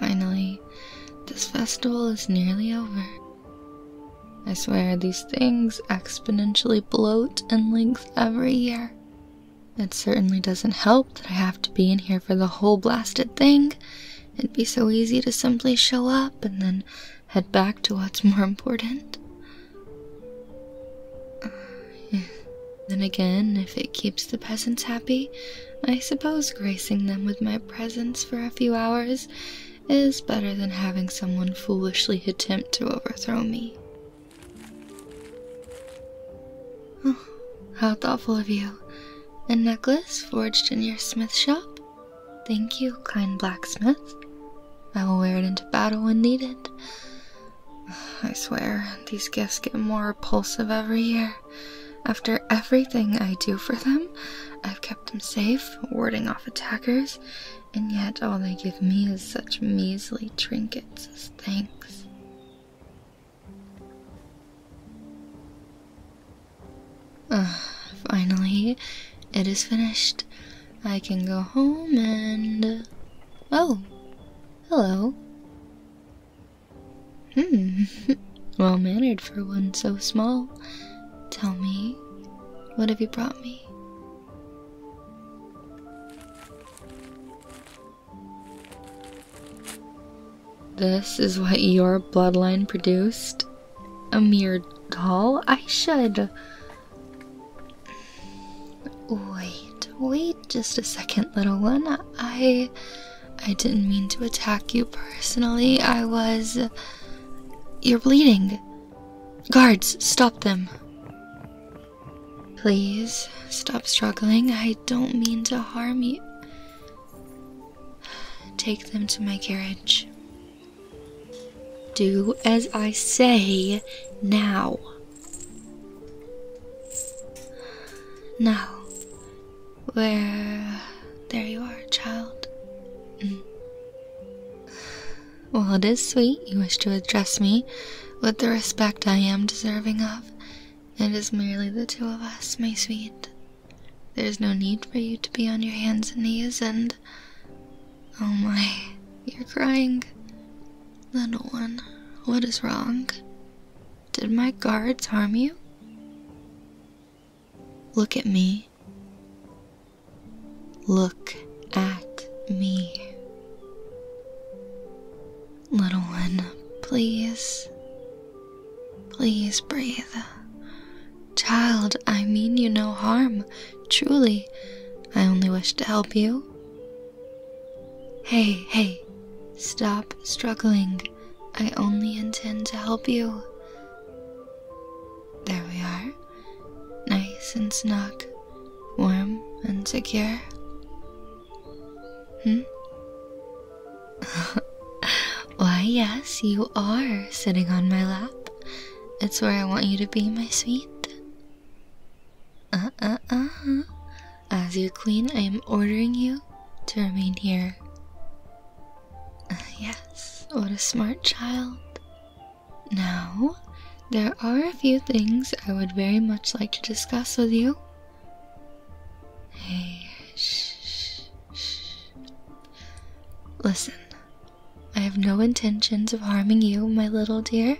finally, this festival is nearly over. I swear these things exponentially bloat in length every year. It certainly doesn't help that I have to be in here for the whole blasted thing, It'd be so easy to simply show up and then head back to what's more important. Then again, if it keeps the peasants happy, I suppose gracing them with my presence for a few hours is better than having someone foolishly attempt to overthrow me. how thoughtful of you. A necklace forged in your smith shop? Thank you, kind blacksmith. I will wear it into battle when needed. I swear, these gifts get more repulsive every year. After everything I do for them, I've kept them safe, warding off attackers, and yet all they give me is such measly trinkets as thanks finally, it is finished. I can go home and. Oh, hello. Hmm, well mannered for one so small. Tell me, what have you brought me? This is what your bloodline produced? A mere doll? I should. Wait, wait just a second, little one. I. I didn't mean to attack you personally. I was. You're bleeding. Guards, stop them. Please, stop struggling. I don't mean to harm you. Take them to my carriage. Do as I say now. Now, where. There you are, child. Mm. Well, it is sweet you wish to address me with the respect I am deserving of. It is merely the two of us, my sweet. There's no need for you to be on your hands and knees and. Oh my, you're crying. Little one, what is wrong? Did my guards harm you? Look at me. Look at me. Little one, please. Please breathe. Child, I mean you no harm. Truly, I only wish to help you. Hey, hey, stop struggling. I only intend to help you. There we are. Nice and snug, warm and secure. Hmm? Why, yes, you are sitting on my lap. It's where I want you to be, my sweet. Uh uh uh. As your queen, I am ordering you to remain here. yes, what a smart child. Now, there are a few things I would very much like to discuss with you. Hey, shh, shh, Listen, I have no intentions of harming you, my little dear.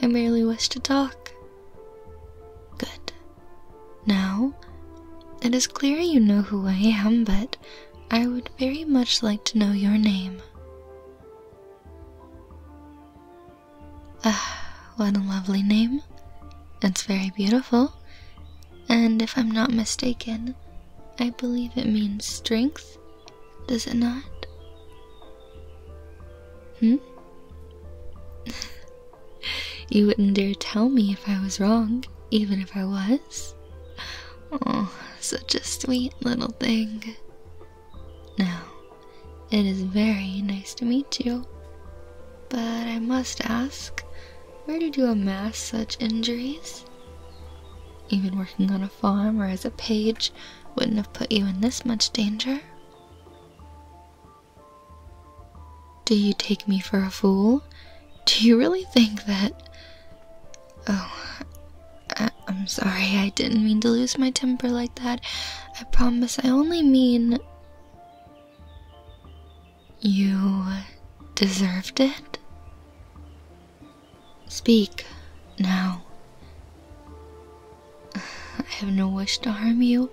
I merely wish to talk. Good. Now, it is clear you know who I am, but I would very much like to know your name. Ah, what a lovely name. It's very beautiful. And if I'm not mistaken, I believe it means strength, does it not? Hmm? you wouldn't dare tell me if I was wrong, even if I was. Oh, such a sweet little thing. Now, it is very nice to meet you. But I must ask, where did you amass such injuries? Even working on a farm or as a page wouldn't have put you in this much danger. Do you take me for a fool? Do you really think that. Oh, I am sorry, I didn't mean to lose my temper like that. I promise I only mean. You deserved it? Speak now. I have no wish to harm you,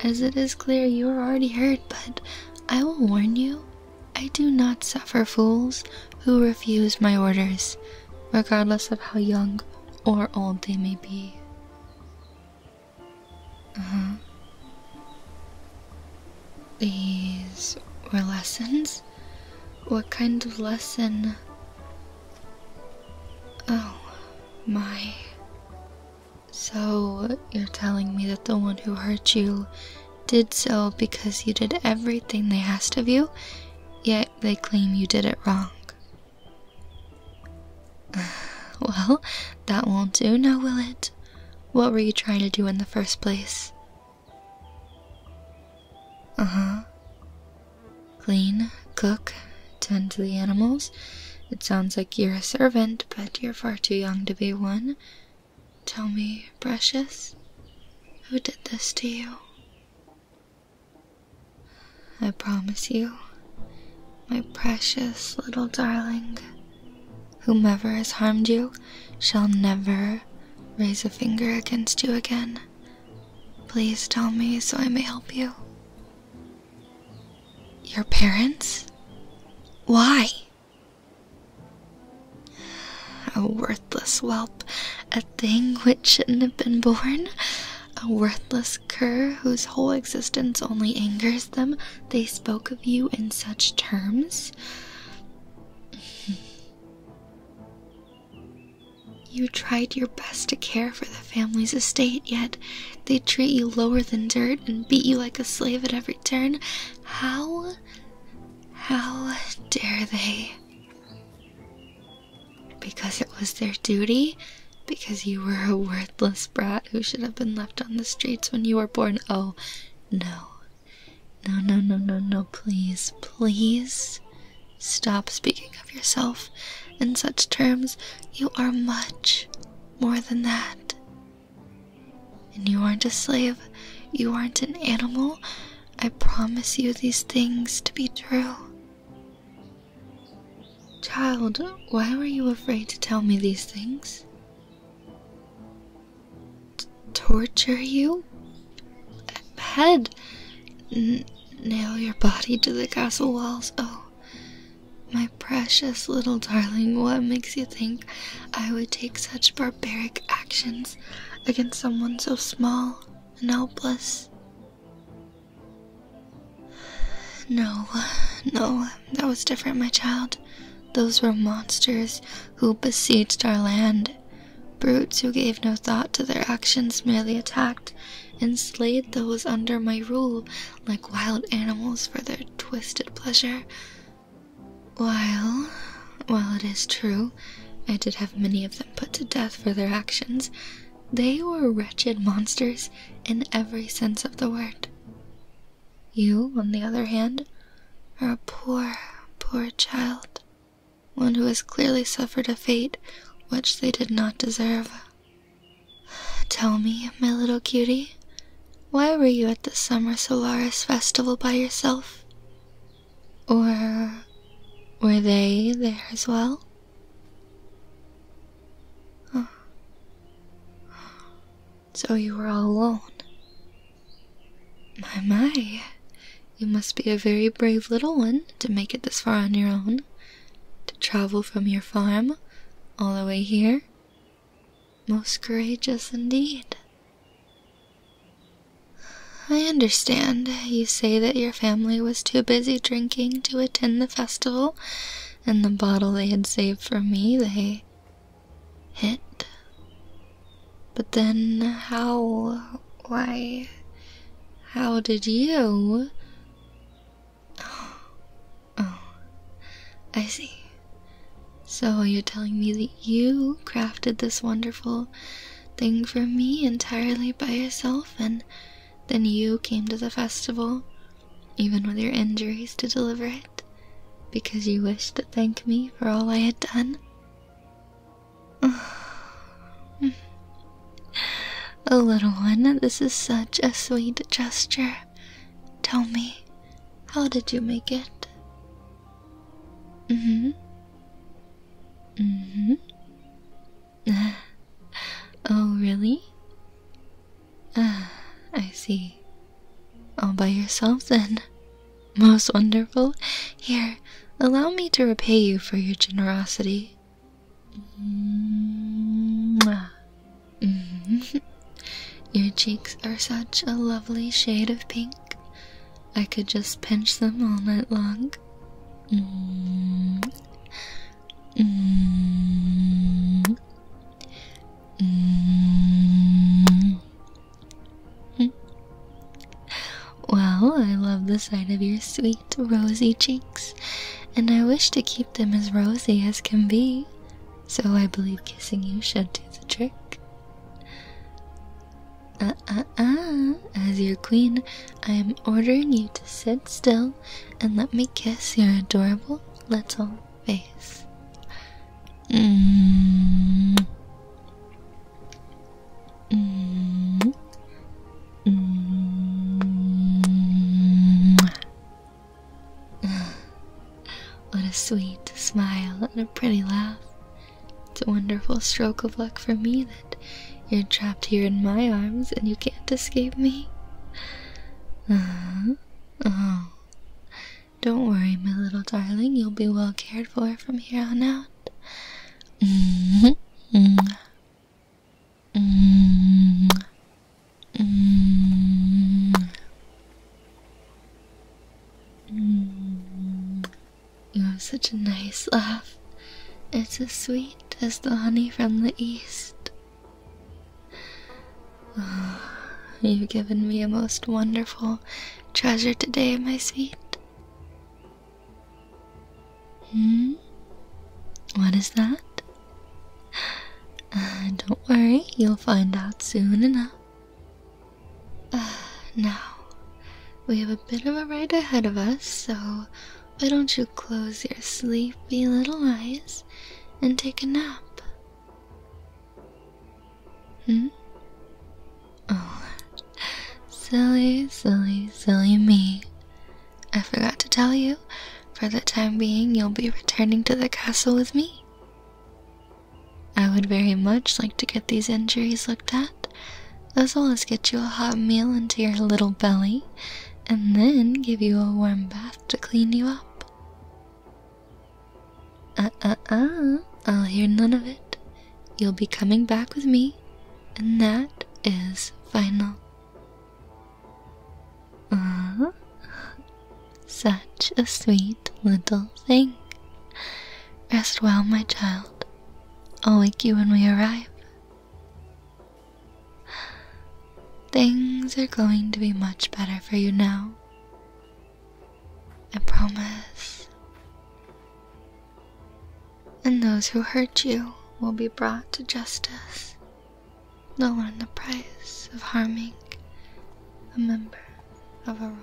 as it is clear you are already hurt, but I will warn you I do not suffer fools who refuse my orders, regardless of how young or old they may be. Uh huh. These were lessons? What kind of lesson? Oh, my. So, you're telling me that the one who hurt you did so because you did everything they asked of you, yet they claim you did it wrong. well, that won't do now, will it? What were you trying to do in the first place? Uh huh. Clean, cook, tend to the animals. It sounds like you're a servant, but you're far too young to be one. Tell me, precious, who did this to you? I promise you, my precious little darling. Whomever has harmed you shall never raise a finger against you again. Please tell me so I may help you. Your parents? Why? A worthless whelp, a thing which shouldn't have been born, a worthless cur, whose whole existence only angers them, they spoke of you in such terms? You tried your best to care for the family's estate, yet they treat you lower than dirt and beat you like a slave at every turn. How. how dare they? Because it was their duty? because you were a worthless brat who should have been left on the streets when you were born. Oh, no. No, no, no, no, no, please, please stop speaking of yourself in such terms. You are much more than that. And you aren't a slave, you aren't an animal. I promise you these things to be true. Child, why were you afraid to tell me these things? torture you? Head? nail your body to the castle walls? Oh, my precious little darling, what makes you think I would take such barbaric actions against someone so small and helpless? No, no, that was different, my child. Those were monsters who besieged our land. Brutes who gave no thought to their actions merely attacked and slayed those under my rule like wild animals for their twisted pleasure. While, while it is true, I did have many of them put to death for their actions, they were wretched monsters in every sense of the word. You, on the other hand, are a poor, poor child, one who has clearly suffered a fate which they did not deserve. Tell me, my little cutie, why were you at the Summer Solaris Festival by yourself? Or were they there as well? So you were all alone. My, my. You must be a very brave little one to make it this far on your own. To travel from your farm all the way here. Most courageous indeed. I understand. You say that your family was too busy drinking to attend the festival and the bottle they had saved for me they hit. But then, how? Why? How did you? Oh, I see. So you're telling me that you crafted this wonderful thing for me entirely by yourself and then you came to the festival, even with your injuries, to deliver it, because you wished to thank me for all I had done. oh, little one, this is such a sweet gesture. Tell me, how did you make it? Mm hmm. Mm hmm. oh, really? I see. All by yourself then. Most wonderful. Here, allow me to repay you for your generosity. Mm-hmm. Your cheeks are such a lovely shade of pink. I could just pinch them all night long. Mm-hmm. Mm. Mm. Hm. Well, I love the sight of your sweet, rosy cheeks, and I wish to keep them as rosy as can be, so I believe kissing you should do the trick. Uh uh uh, as your queen, I am ordering you to sit still and let me kiss your adorable little face. Mm. Mm. Mm. What a sweet smile and a pretty laugh. It's a wonderful stroke of luck for me that you're trapped here in my arms and you can't escape me. Uh-huh. Oh. Don't worry, my little darling. You'll be well cared for from here on out. -hmm. -hmm. -hmm. -hmm. You have such a nice laugh. It's as sweet as the honey from the east. you've given me a most wonderful treasure today, my sweet. Hmm? What is that? Uh, don't worry, you'll find out soon enough. now, we have a bit of a ride ahead of us, so why don't you close your sleepy little eyes and take a nap? Hmm? Oh, silly, silly, silly me. I forgot to tell you, for the time being, you'll be returning to the castle with me. I would very much like to get these injuries looked at, as well as get you a hot meal into your little belly and then give you a warm bath to clean you up. Uh uh uh, I'll hear none of it. You'll be coming back with me, and that is final. Uh, such a sweet little thing. Rest well, my child. I'll wake you when we arrive. Things are going to be much better for you now. I promise. And those who hurt you will be brought to justice. They'll learn the price of harming a member of a royal.